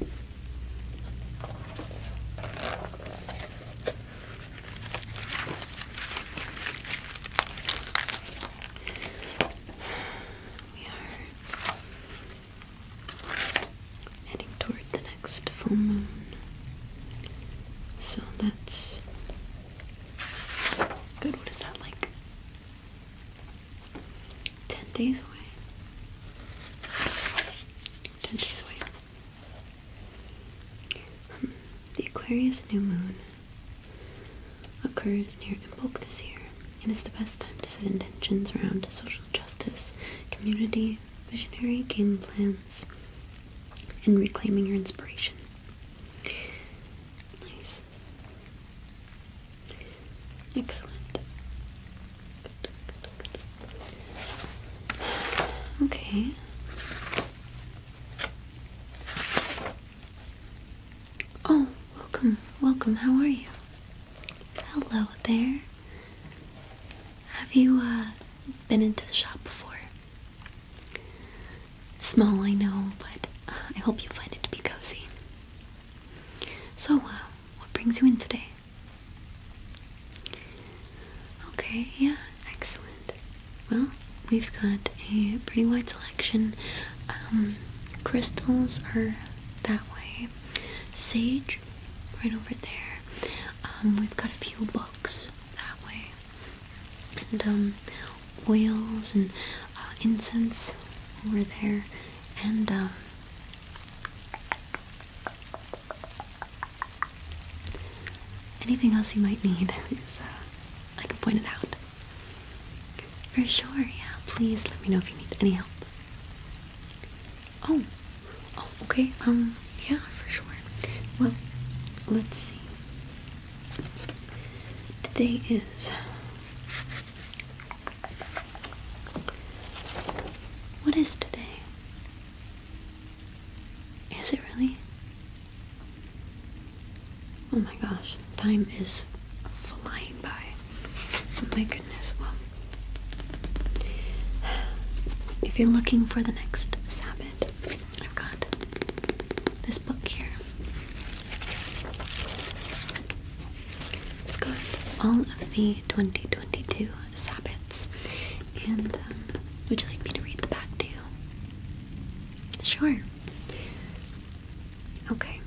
We are heading toward the next full moon. So that's good. What is that like? Ten days away. Ten days away. Hmm. the Aquarius new moon occurs near Imbolc this year and is the best time to set intentions around social justice, community, visionary game plans, and reclaiming your inspiration. Nice. Excellent. Okay. Oh, welcome, welcome. How are you? Hello there. Have you uh, been into the shop before? Small, I know, but uh, I hope you find it to be cozy. So, uh, what brings you in today? Okay, yeah, excellent. Well, we've got a pretty wide selection. Um, crystals are that way. Sage, right over there. Um, we've got a few books that way. And, um, oils and uh, incense over there. And, um, Anything else you might need I can uh, point it out. For sure, yeah. Please let me know if you need any help. Oh, oh, okay. Um, yeah, for sure. Well, let's see. Today is what is today? Is it really? Oh my gosh, time is flying by. Oh my goodness, well. If you're looking for the next Sabbath, I've got this book here. Let's go into all of the 2022 Sabbats. And um, would you like me to read the back to you? Sure. Okay.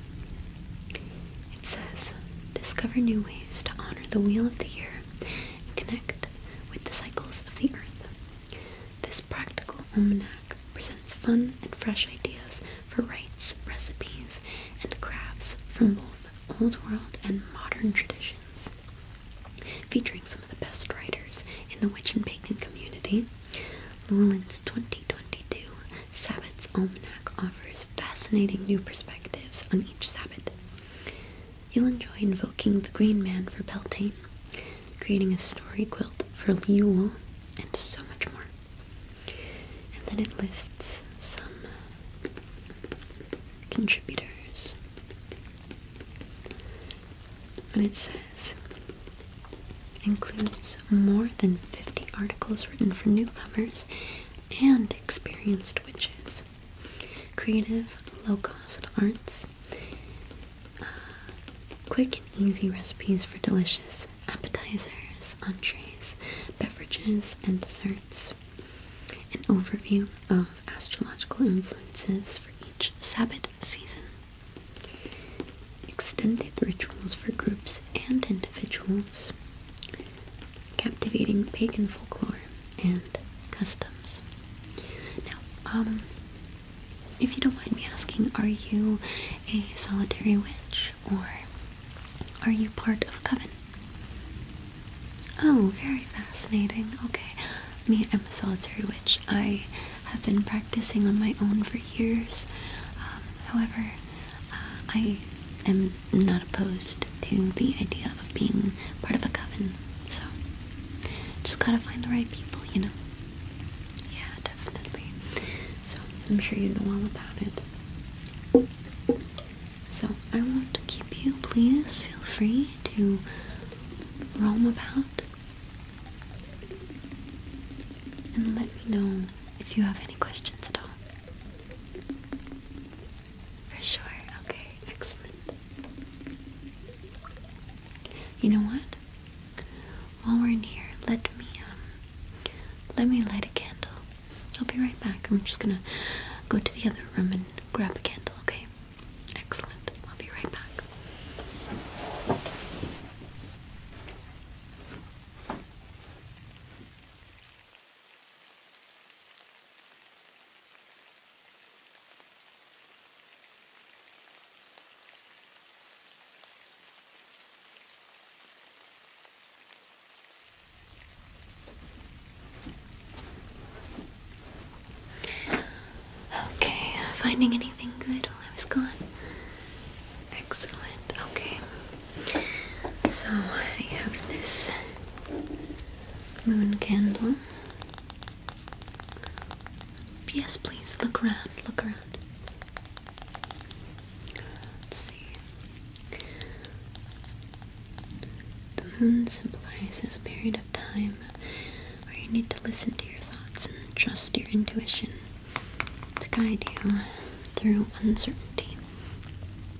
It says, discover new ways to honor the wheel of the year and connect with the cycles of the earth. This practical almanac presents fun and fresh ideas for rites, recipes, and crafts from both Old World and modern traditions. Featuring some of the best writers in the witch and pagan community, Llewellyn's 2022 Sabbath's Almanac offers fascinating new perspectives on each Sabbath. You'll enjoy invoking the Green Man for Beltane, creating a story quilt for Liu and so much more. And then it lists some uh, contributors. And it says includes more than 50 articles written for newcomers and experienced witches, creative, low cost arts, uh, quick and easy recipes for delicious appetizers, entrees, beverages, and desserts. An overview of astrological influences for each Sabbat season. Extended rituals for groups and individuals. Captivating pagan folklore and customs. Now, um, if you don't mind me asking, are you a solitary witch? Or are you part of a coven? Oh, very fascinating. Okay. Me, I'm a solitary witch. I have been practicing on my own for years. Um, however, uh, I am not opposed to the idea of being part of a coven. So, just gotta find the right people, you know? Yeah, definitely. So, I'm sure you know all about it. So I want to keep you. Please feel free to roam about and let me know if you have any questions at all. For sure. Okay, excellent. You know what? While we're in here, let me um, let me light a candle I'll be right back. I'm just gonna go to the other room and grab a candle, okay? Excellent. I'll be right back. Okay, uh, finding anything good while I was gone? Excellent, okay. So I have this moon candle. Yes, please, look around, look around. Let's see. The moon symbolizes a period of time where you need to listen to your thoughts and trust your intuition to guide you through uncertainty.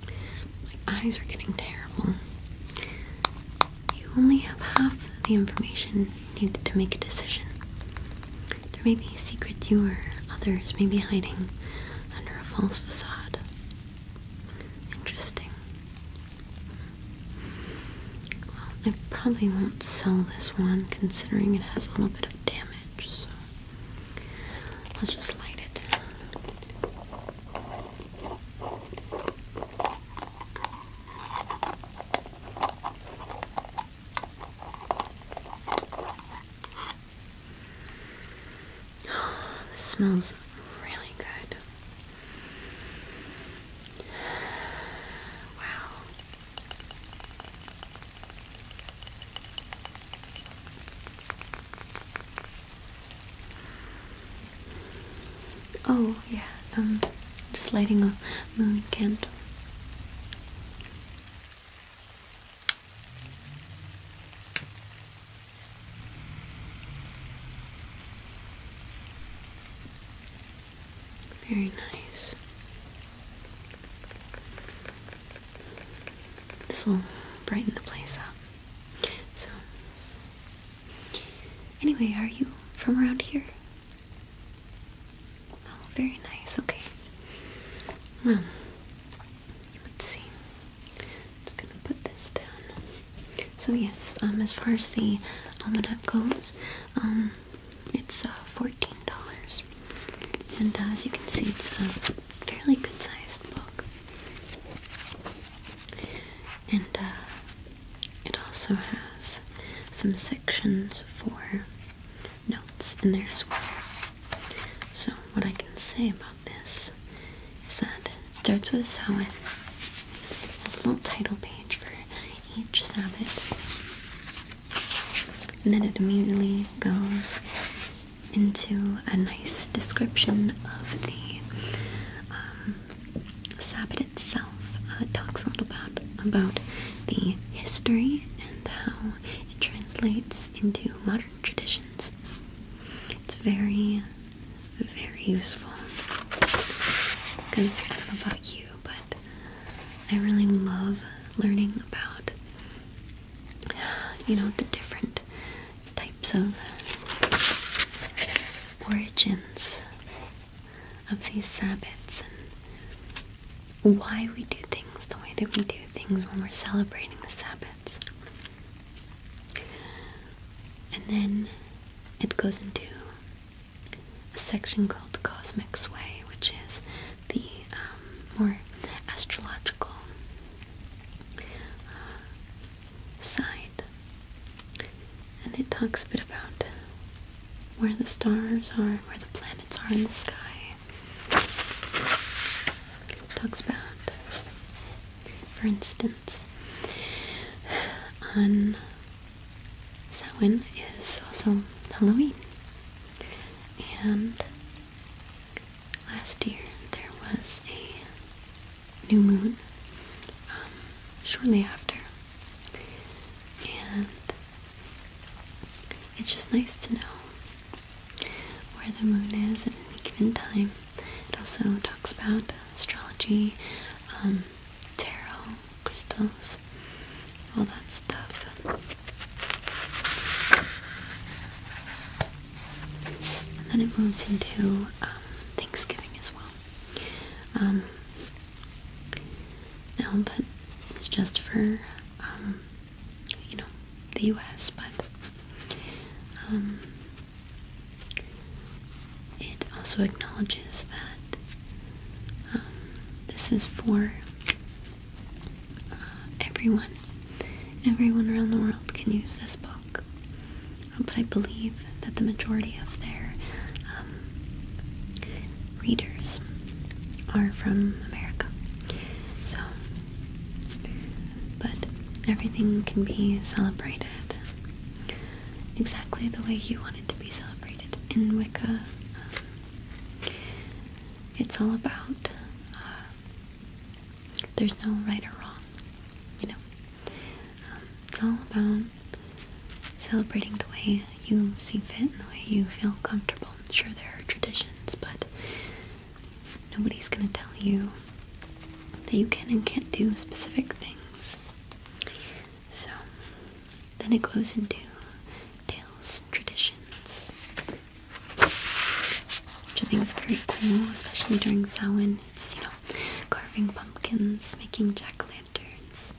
My eyes are getting terrible. You only have half the information needed to make a decision. There may be secrets you or others may be hiding under a false facade. Interesting. Well, I probably won't sell this one considering it has a little bit of damage, so let's just light it. This smells really good. Wow. Oh, yeah, um, just lighting a moon candle. Very nice. This will brighten the place up. So, anyway, are you from around here? Oh, very nice. Okay. Well, hmm. let's see. Just gonna put this down. So yes, um, as far as the almanac um, goes, um, it's uh, fourteen dollars, and uh, as you can see, it's a fairly good-sized book, and uh, it also has some sections for notes in there as well. So, what I can say about this is that it starts with a Samhain, has a little title page for each Sabbath, and then it immediately goes into a nice description of the um, itself. Uh, it talks a little about, about the history and how it translates into modern tradition. It's very, very useful. Because I don't know about you, but I really love learning about, you know, the different types of origins of these sabbaths and why we do things the way that we do things when we're celebrating the Sabbath. And then it goes into a section called Cosmic Sway, which is the um, more astrological uh, side. And it talks a bit about where the stars are, where the planets are in the sky, talks about, for instance, on Samhain is also Halloween, and last year there was a new moon um, shortly after, and it's just nice to know where the moon is at any given time. It also talks about astrology, um, tarot, crystals, all that stuff. And then it moves into um, Thanksgiving as well. Um, now that is just for um, you know, the US, but um, it also acknowledges that um, this is for uh, everyone. Everyone around the world can use this book, um, but I believe that the majority of their readers are from America. So, but everything can be celebrated exactly the way you wanted to be celebrated in Wicca. Um, it's all about uh, there's no right or wrong, you know. Um, it's all about celebrating the way you see fit and the way you feel comfortable. Sure, there are traditions, but Nobody's going to tell you that you can and can't do specific things. So, then it goes into tales traditions, which I think is very cool, especially during Samhain. It's, you know, carving pumpkins, making jack o lanterns,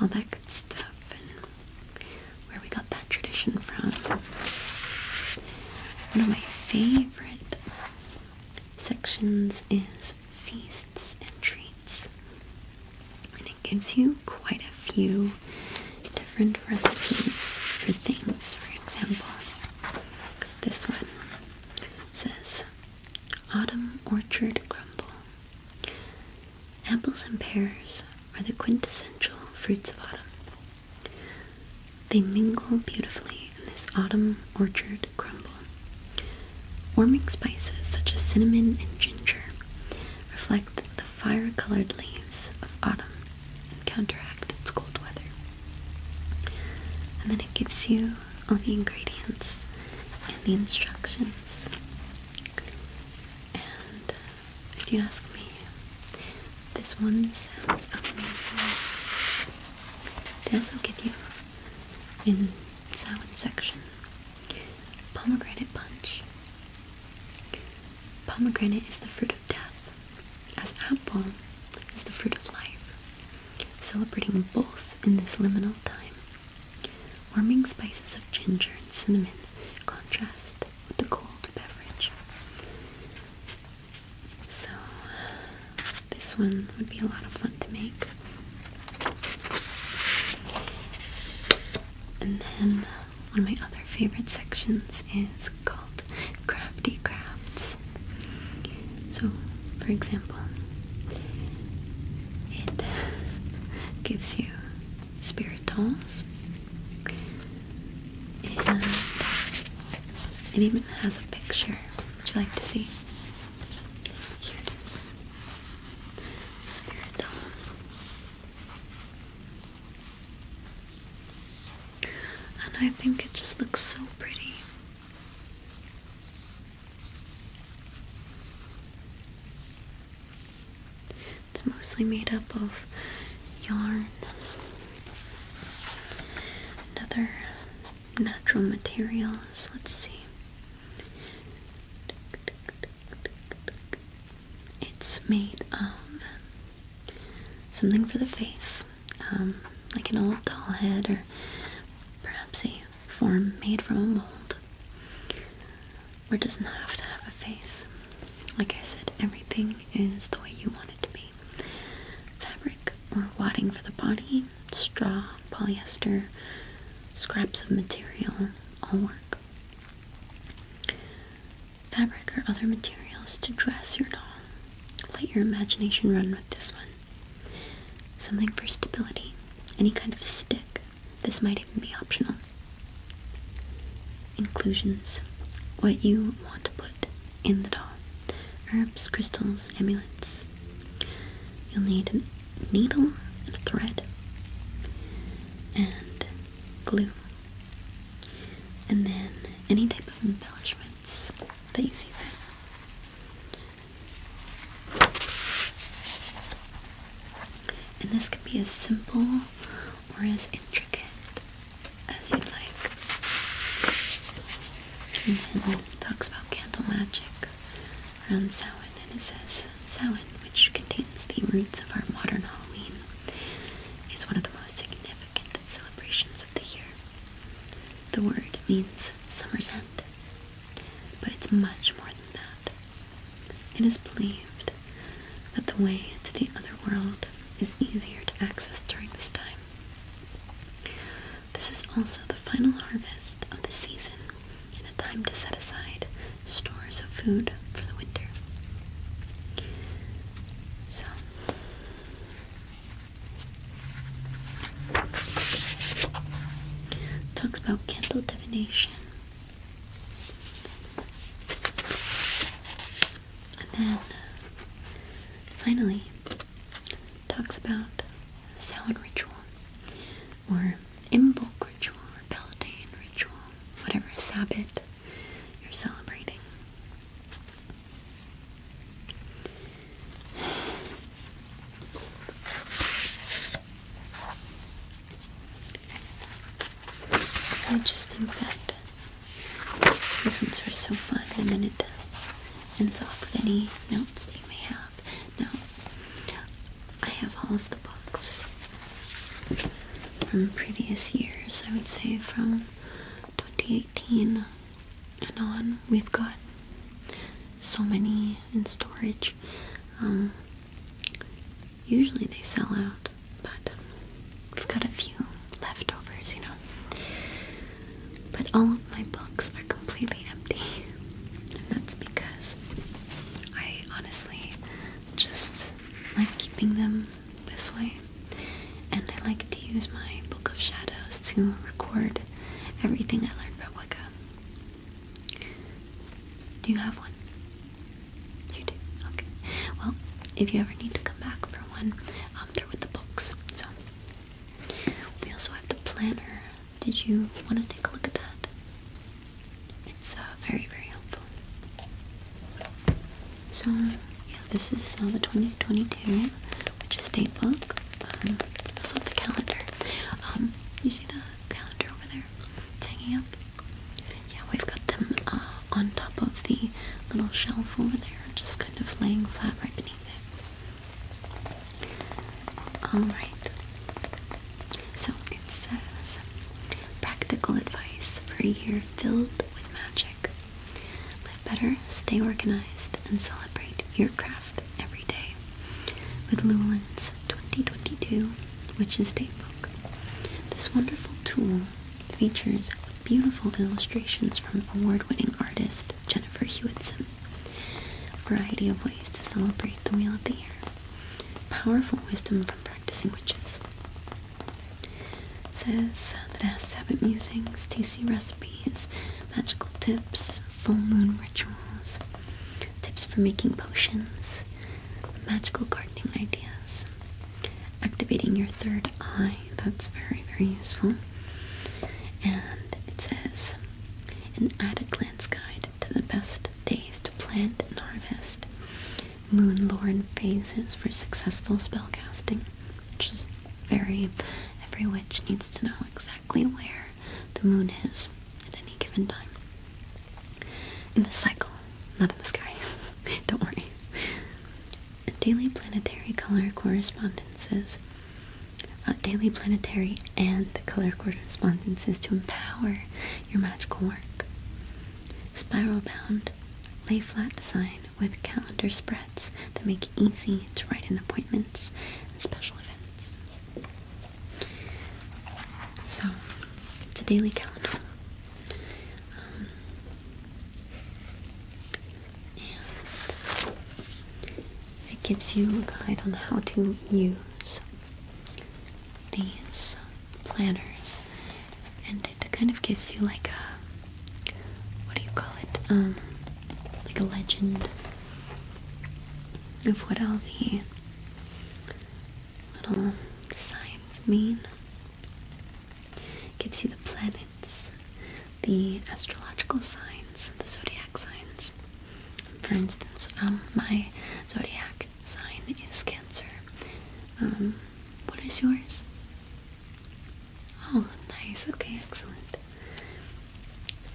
all that good stuff, and where we got that tradition from one of my favorite sections is feasts and treats, and it gives you quite a few different recipes for things. For example, this one says Autumn Orchard Crumble. Apples and pears are the quintessential fruits of autumn. They mingle beautifully in this autumn orchard crumble. Warming spices such as cinnamon and ginger reflect the fire-colored leaves of autumn and counteract its cold weather. And then it gives you all the ingredients and the instructions. And uh, if you ask me, this one sounds amazing. They also give you, in salad section, pomegranate punch. Pomegranate is the fruit of death, as apple is the fruit of life, celebrating both in this liminal time. Warming spices of ginger and cinnamon contrast with the cold beverage. So, this one would be a lot of fun to make. And then one of my other favorite sections is called crafty crafts. So, for example, it gives you spirit dolls, and it even has a picture. Would you like to see? Here it is. And I think it just looks so pretty. It's mostly made up of yarn Another natural materials. Let's see. It's made of something for the face, um, like an old doll head, or perhaps a form made from a mold, or doesn't have to have a face. Like I said, everything is the way you want it to be. Fabric or wadding for the body, straw, polyester, scraps of material, all work. Fabric or other materials to dress your doll. Let your imagination run with this one. Something for stability, any kind of stick. This might even be optional. Inclusions. What you want to put in the doll. Herbs, crystals, amulets. You'll need a needle and a thread and glue. And then any type of embellishments that you see fit. And this can be as simple or as intricate as you'd like. And then it talks about candle magic around Samhain, and it says Samhain, which contains the roots of our modern Halloween, is one of the most significant celebrations of the year. The word means summer's end, but it's much more than that. It is believed that the way to the other world is easier to access during this time. This is also the final harvest of the season and a time to set aside stores of food for the winter. So, talks about candle divination. And then uh, finally, talks about salad ritual or imbolc ritual or Palatine ritual, whatever Sabbat you're celebrating. I just think these ones are so fun and then it ends off with any notes they may have. Now, I have all of the books from previous years, I would say from 2018 and on. We've got so many in storage. Um, usually they sell out, but I've got a few leftovers, you know. But all of my books are completely empty. And that's because I honestly just like keeping them this way. And I like to use my Book of Shadows to record everything I learned about Wicca. Do you have one? You do? Okay. Well, if you ever need to come back for one, I'm are with the book. So we also have the planner. Did you want to take a look at that? It's uh, very, very helpful. So, yeah, this is uh, the 2022, which is date book. Um, also the calendar. Um, you see the calendar over there? It's hanging up. Yeah, we've got them uh, on top of the little shelf over there, just of laying flat right beneath it. Alright. So it says practical advice for a year filled with magic. Live better, stay organized, and celebrate your craft every day with Llewellyn's 2022 Witch's Datebook. This wonderful tool features beautiful illustrations from award-winning artist Jennifer Hewitson. variety of ways to celebrate the Wheel of the Year. Powerful wisdom from practicing witches. It says that it has Sabbath musings, TC recipes, magical tips, full moon rituals, tips for making potions, magical gardening ideas, activating your third eye, that's very, very useful. And it says, an at-a-glance guide to the best days to plant and harvest. Moon lore and phases for successful spell casting, which is very, every witch needs to know exactly where the moon is at any given time. In the cycle, not in the sky, don't worry and daily planetary color correspondences, uh, daily planetary and the color correspondences to empower your magical work. Spiral bound, lay flat design with calendar spreads that make it easy to write in appointments and special events. So, it's a daily calendar. Um, it gives you a guide on how to use these planners, and it kind of gives you like a what do you call it? Um, like a legend of what all the little signs mean. Gives you the planets the astrological signs, the zodiac signs. For instance, um, my zodiac sign is Cancer. Um, what is yours? Oh, nice. Okay, excellent.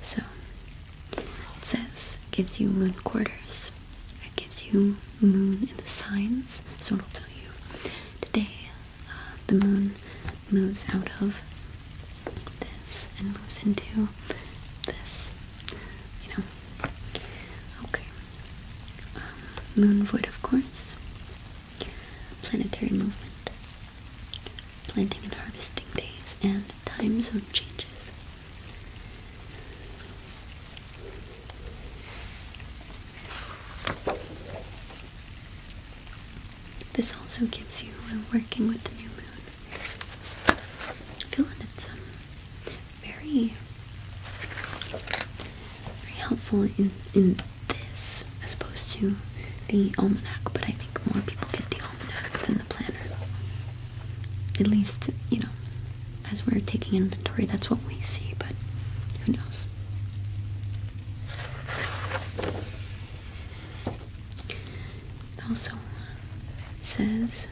So, it says gives you moon quarters. It gives you moon in the signs, so it'll tell you today the moon moves out of this and moves into this, you know. Okay. Um, moon void, of course. Planetary movement. Planting and harvesting days and time zone changes. This also gives you when working with the new moon. Feeling it's um, very very helpful in in this as opposed to the almanac, but I think more people get the almanac than the planner. At least, you know, as we're taking inventory, that's what we see, but who knows? also says,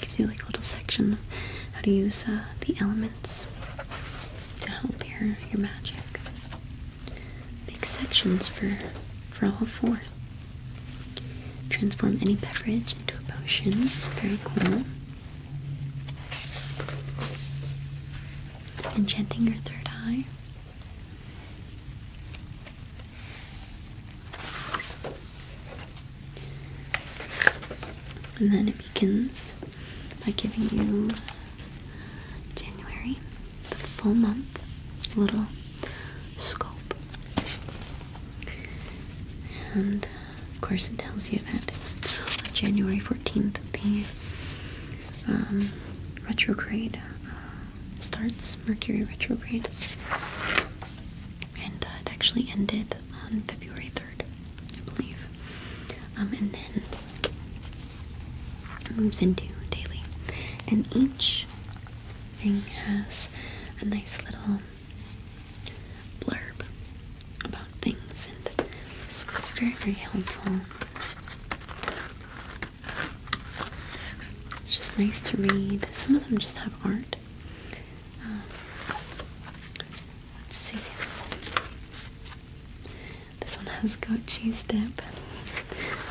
gives you like a little section of how to use uh, the elements to help your, your magic. Big sections for, for all four. Transform any beverage into a potion. Very cool enchanting your third eye. And then it begins by giving you January, the full month, little scope. And of course, it tells you that on January 14th, the um, retrograde uh, starts, Mercury retrograde. And uh, it actually ended on February 3rd, I believe. Um, and then it moves into daily. And each thing has a nice little blurb about things, and it's very, very helpful it's just nice to read. Some of them just have art. Um, let's see. This one has goat cheese dip.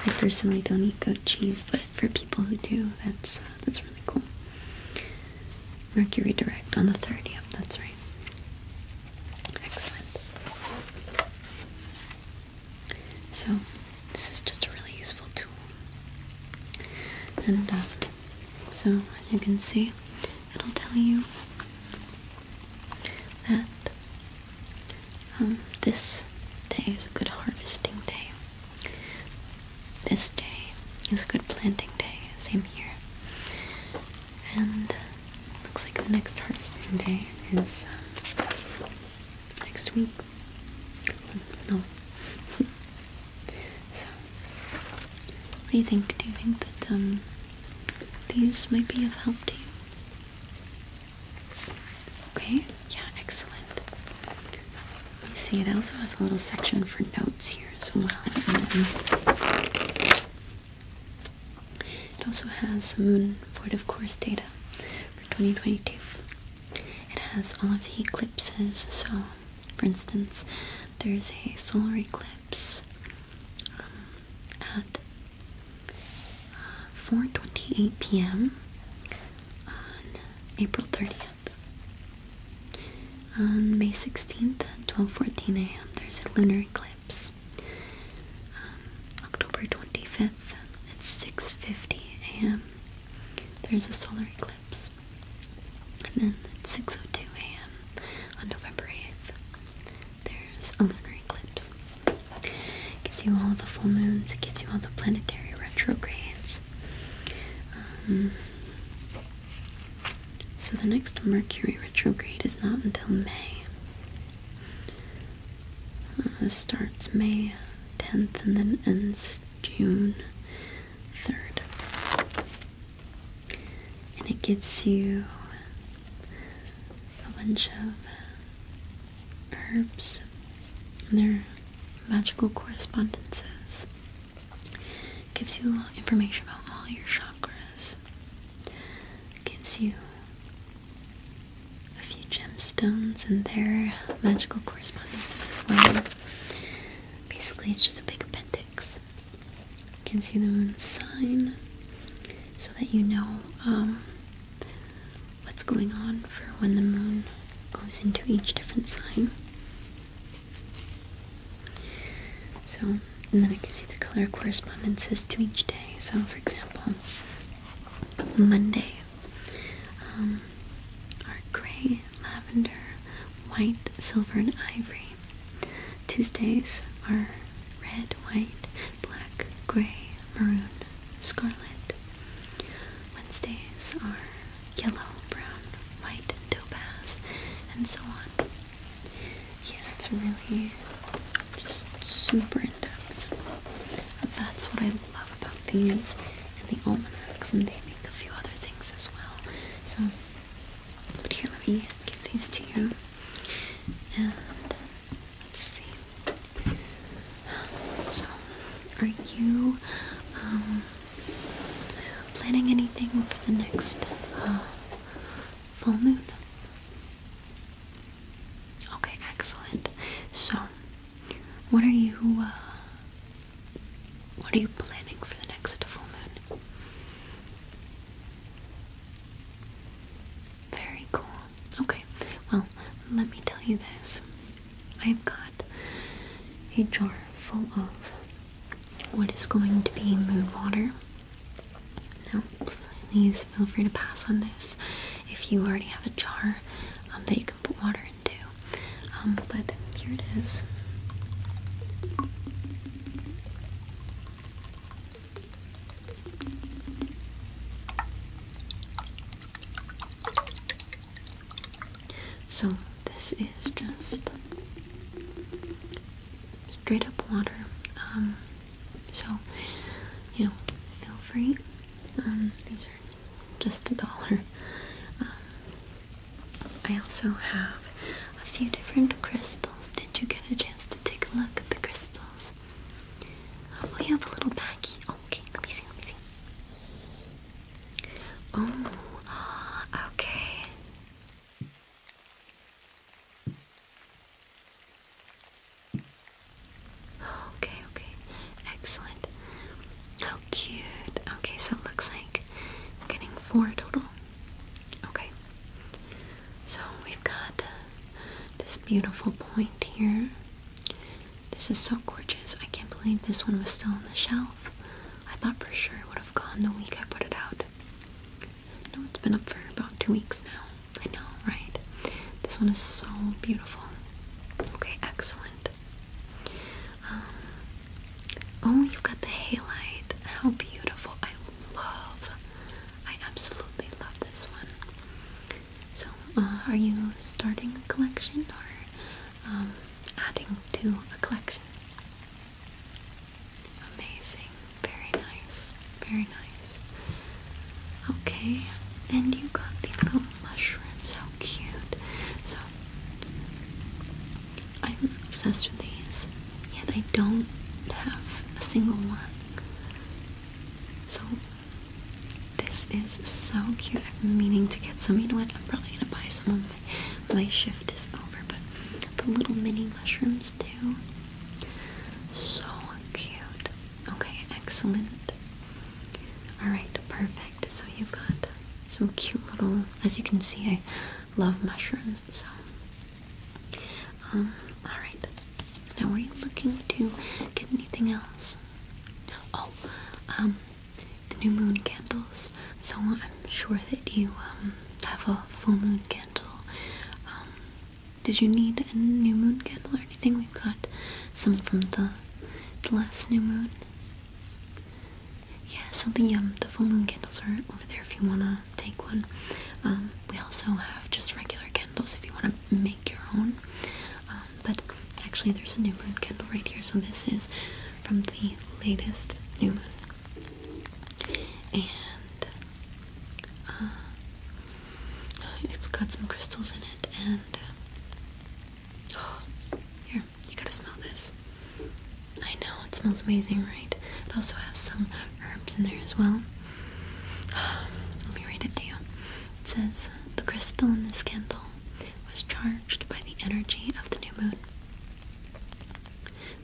I personally don't eat goat cheese, but for people who do, that's uh, that's really cool. Mercury direct on the third. Yep, That's right. Excellent. So, this is just a really useful tool. And uh, so, as you can see, it'll tell you that um, this day is a good harvesting day. This day is a good planting day. Same here. And looks like the next harvesting day is uh, next week. No. so, what do you think? Do you think that um, these might be of help to you? Okay, yeah, excellent. You see, it also has a little section for notes here as well. Mm-hmm. It also has Moon Ford Course data for 2022. It has all of the eclipses, so for instance, there's a solar eclipse um, at uh, 4.28 p.m. on April 30th. On May 16th at 12.14 a.m. there's a lunar eclipse. Um, October 25th at 6.50 a.m. There's a solar eclipse. And then at 6.02 a.m. on November 8th, there's a lunar eclipse. gives you all the full moons, it gives you all the planetary retrogrades. Um, so the next Mercury retrograde is not until May. Uh, starts May 10th and then ends June 3rd. And it gives you a bunch of herbs and their magical correspondences. gives you information about all your chakras. gives you a few gemstones and their magical correspondences as well. Basically, it's just a big appendix. Can see the moon sign so that you know um, what's going on for when the moon goes into each different sign. So, and then it gives you the color correspondences to each day. So, for example, Monday um, are gray, lavender, white, silver, and ivory. Tuesdays are red, white, black, gray, maroon, scarlet. Wednesdays are yellow, brown, white, topaz, and so on yeah, it's really just super in depth. that's what I love about these and the almanacs, and they make a few other things as well. So, but here, let me give these to you. And let's see. So, are you um, planning anything for the next uh, full moon? Okay, excellent. So, what are you, uh, what are you planning for the next full moon? Very cool. Okay, well, let me tell you this. I've got a jar full of what is going to be moon water. No, please feel free to pass on this if you already have a jar um, that you can put water into. Um, but here it is. So, this is just straight up water. Um, so, you know, feel free. Um, these are just a dollar. Um, I also have a few different crystals. Did you get a chance to take a look at the crystals? Um, we have a little baggie. Oh, okay, let me see, let me see. Oh, okay. Okay, okay. Excellent. How cute. Okay, so it looks like we're getting four total. Okay. So we've got uh, this beautiful point here. This is so gorgeous. I can't believe this one was still on the shelf. I thought for sure it would have gone the week I put it out. I it's been up for about two weeks now. I know, right? This one is so beautiful. Okay, excellent. Um, oh, you got the halite. How beautiful. I love, I absolutely love this one. So, uh, are you starting a collection or um, adding to a collection? Amazing. Very nice. Very nice. Okay, and you got the little mushrooms. How cute. So, I'm obsessed with these, yet I don't have a single one. So, this is so cute. I've meaning to get some. You know what? I'm probably gonna buy some of my shift is over, but the little mini mushrooms, too. So cute. Okay, excellent. Alright, perfect. So you've got some cute little, as you can see, I love mushrooms, so. Um, alright. Now, are you looking to get anything else? Oh, um, the new moon candles. So I'm sure that you, um, have a full moon candle, um, did you need a new moon candle or anything? We've got some from the, the last new moon. Yeah, so the um the full moon candles are over there if you wanna take one. Um, we also have just regular candles if you wanna make your own. Um, but actually, there's a new moon candle right here. So this is from the latest new moon. And uh, uh, it's got some crystals in it, and uh, oh, here you gotta smell this. I know it smells amazing, right? It also has some herbs in there as well. Let me read it to you. It says uh, the crystal in this candle was charged by the energy of the new moon.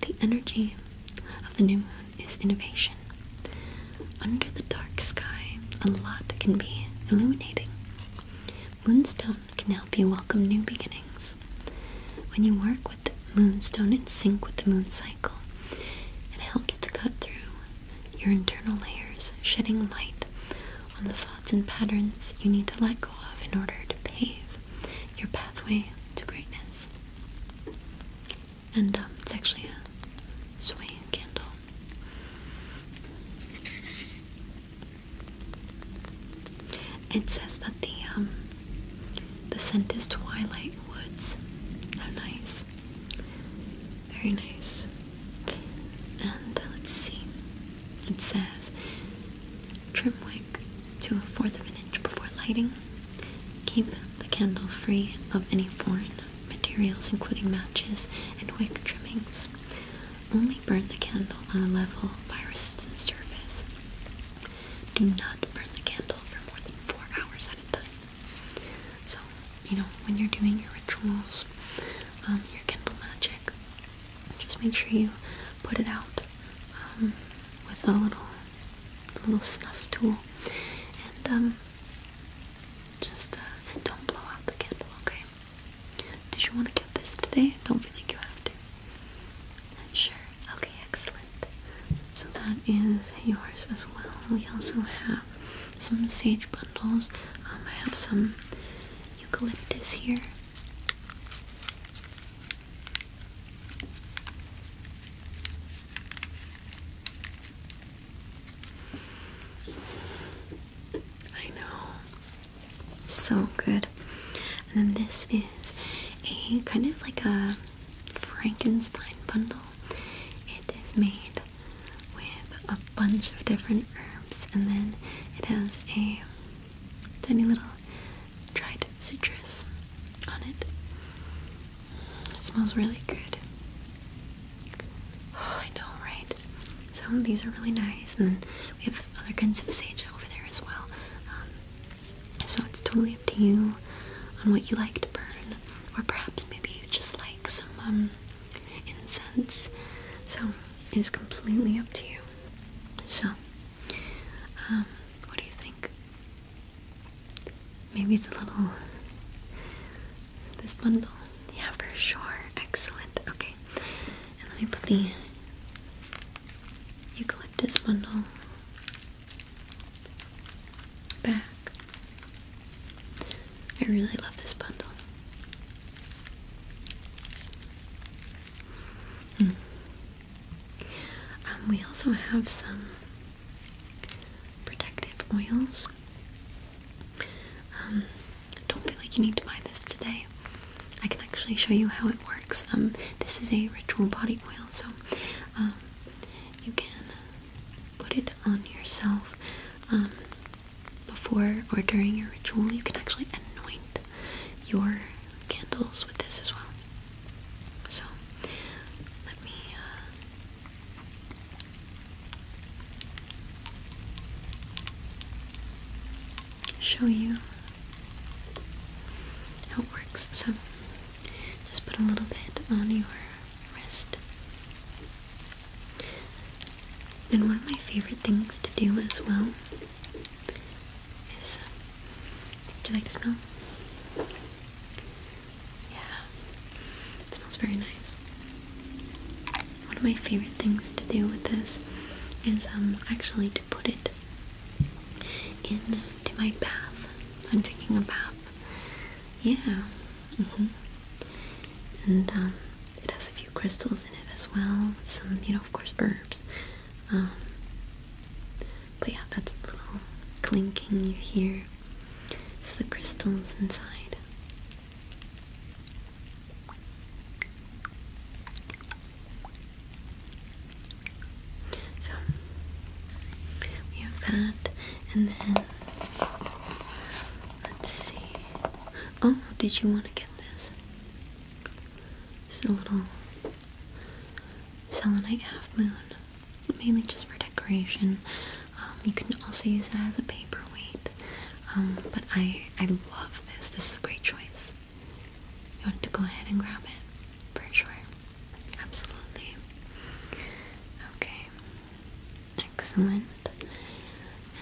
The energy of the new moon is innovation. Under the dark sky, a lot can be illuminating. Moonstone can help you welcome new beginnings. When you work with moonstone in sync with the moon cycle, it helps to cut through your internal layers, shedding light on the thoughts and patterns you need to let go of in order to pave your pathway to greatness and um, it's actually a soy candle. It says that the um, the scent is twilight woods. How nice. Very nice. And uh, let's see. It says trim wick to a fourth of an inch before lighting. Keep the candle free of any foreign materials, including matches and wick trimmings. Only burn the candle on a level, fire-resistant surface. Do not burn the candle for more than four hours at a time. So, you know, when you're doing your rituals, um, your candle magic, just make sure you put it out um, with a little, little snuff tool, and um, just uh, don't blow out the candle, okay? Did you want to get this today? Don't feel like you have to. Sure. Okay, excellent. So that is yours as well. We also have some sage bundles. Um, I have some eucalyptus here. I know. So good. And then this is a kind of like a Frankenstein bundle. It is made with a bunch of different herbs and then it has a tiny little dried citrus on it. It smells really good. Oh, I know, right? So these are really nice, and we have other kinds of sage over there as well. Um, so it's totally up to you on what you like to burn, or perhaps maybe you just like some um, incense. So it is completely up to you. So, um, what do you think? Maybe it's a little. This bundle. Yeah, for sure. Excellent. Okay. And let me put the eucalyptus bundle back. I really love this bundle. Hmm. Um, we also have some protective oils. Um, don't feel like you need to buy this today. I can actually show you how it works. Um, this is a ritual body oil, so um, you can put it on yourself before or during your ritual. You can actually anoint your candles with this as well. So let me uh, show you how it works. So just put a little bit on your wrist. And one of my favorite things to do as well is, um, would you like to smell? Yeah, it smells very nice. One of my favorite things to do with this is um, actually to put it into uh, my bath. I'm taking a bath. Yeah. Mm-hmm. And um, it has a few crystals in it as well. Some, you know, of course, herbs. Um, but yeah, that's the little clinking you hear it's the crystals inside. So we have that, and then let's see. Oh, did you want to get this? It's a little selenite half moon mainly just for decoration. Um, you can also use it as a paperweight. Um, but I, I love this. This is a great choice. You want to go ahead and grab it? For sure. Absolutely. Okay. Excellent.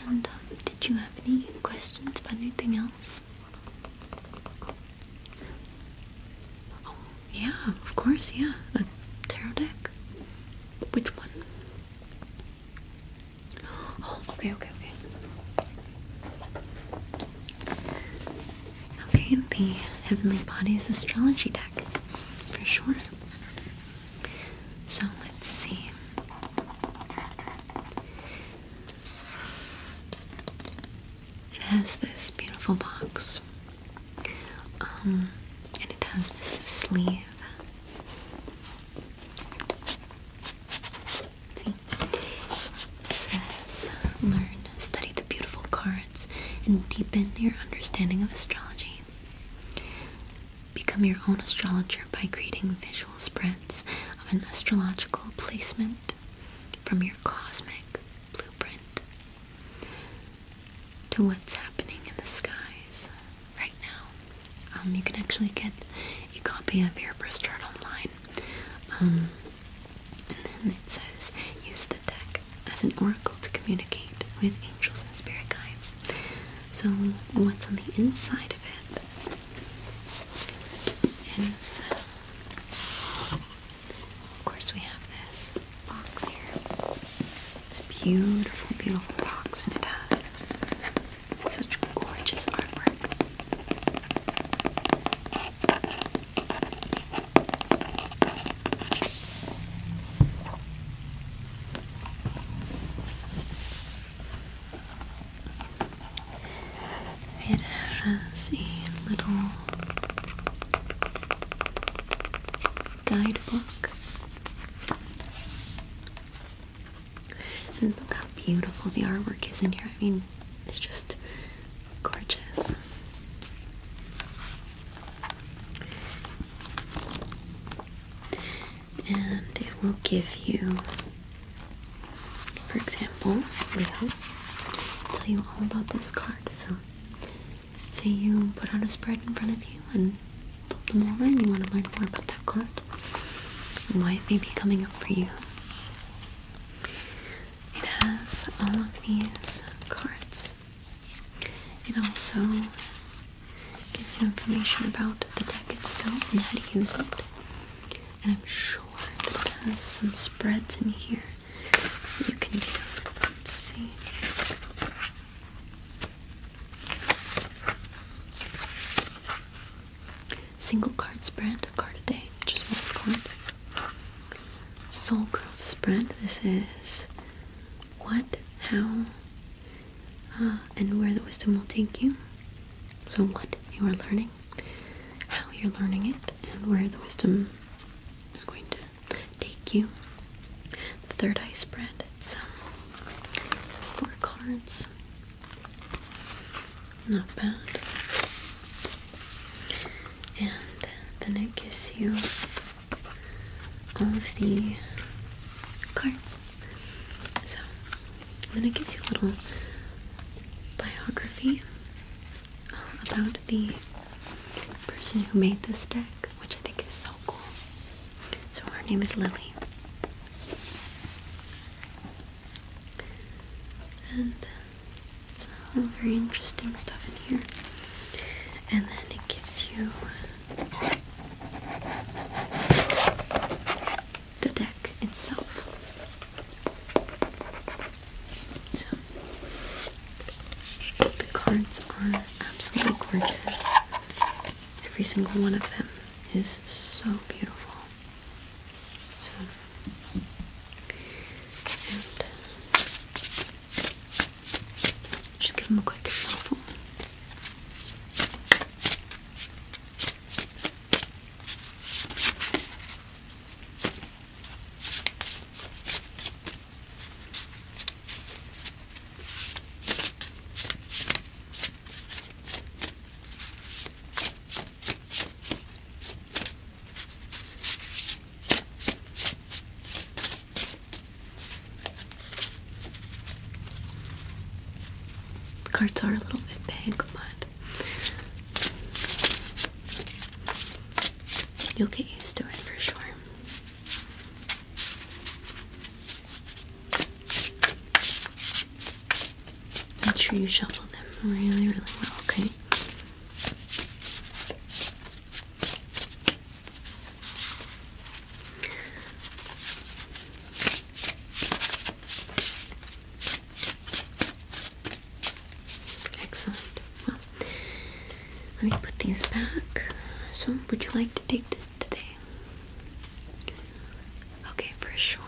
And um, did you have any questions about anything else? Oh, yeah, of course, yeah. tarot deck. Which one? Oh, okay, okay, okay. Okay, the Heavenly Bodies Astrology deck. For sure. So let's see. It has this beautiful box um, and it has this sleeve. It says, learn, study the beautiful cards, and deepen your understanding of astrology. Become your own astrologer by creating visual spreads of an astrological placement from your cosmic blueprint to what's happening in the skies right now. Um, you can actually get a copy of your birth chart online. Um, and then it says, use the deck as an oracle to communicate with angels and spirit guides. So what's on the inside of it? of course we have this box here. This beautiful, beautiful box, and it has such gorgeous artwork. It has a little guidebook. And look how beautiful the artwork is in here. I mean, it's just gorgeous. And it will give you, for example, we will tell you all about this card. So say you put out a spread in front of you and flip them over you want to learn more about that card Might why be coming up for you. It has all of these cards. It also gives you information about the deck itself and how to use it. And I'm sure that it has some spreads in here you can do. Let's see. Single card spread, card a day, just one card. Soul growth spread. This is what, how, uh, and where the wisdom will take you. So, what you are learning, how you're learning it, and where the wisdom is going to take you. The third eye spread. So that's um, four cards. Not bad. And then it gives you all of the cards. So then it gives you a little biography uh, about the person who made this deck, which I think is so cool. So her name is Lily. And uh, it's all very interesting stuff in here. And then it gives you uh, the deck itself. So the cards are absolutely gorgeous. Every single one of them is so beautiful. So, just give them a quick shuffle. The cards are a little bit big, but you'll get used to it for sure. Make sure you shuffle them really, really well, okay? Excellent. Well, let me put these back. So, would you like to take this Okay, for sure.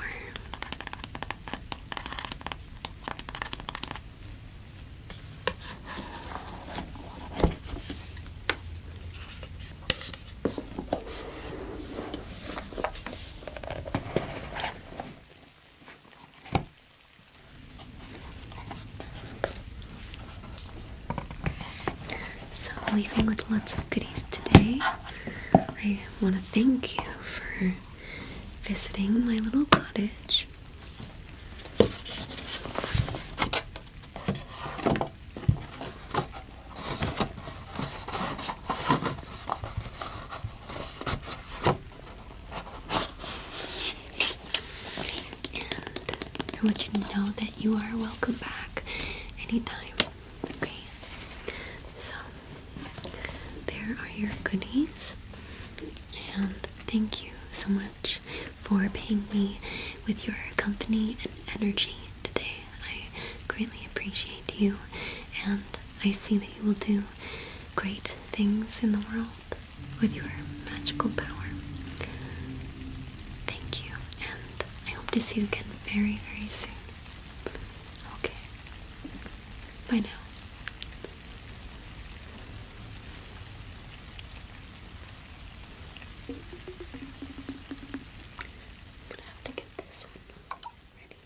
So, leaving with lots of goodies today. I want to thank you for visiting my little cottage. And I want you to know that you are welcome back anytime. Okay? So, there are your goodies. And thank you so much for paying me with your company and energy today. I greatly appreciate you, and I see that you will do great things in the world with your magical power. Thank you, and I hope to see you again very, very soon. Okay. Bye now. i have to get this one ready.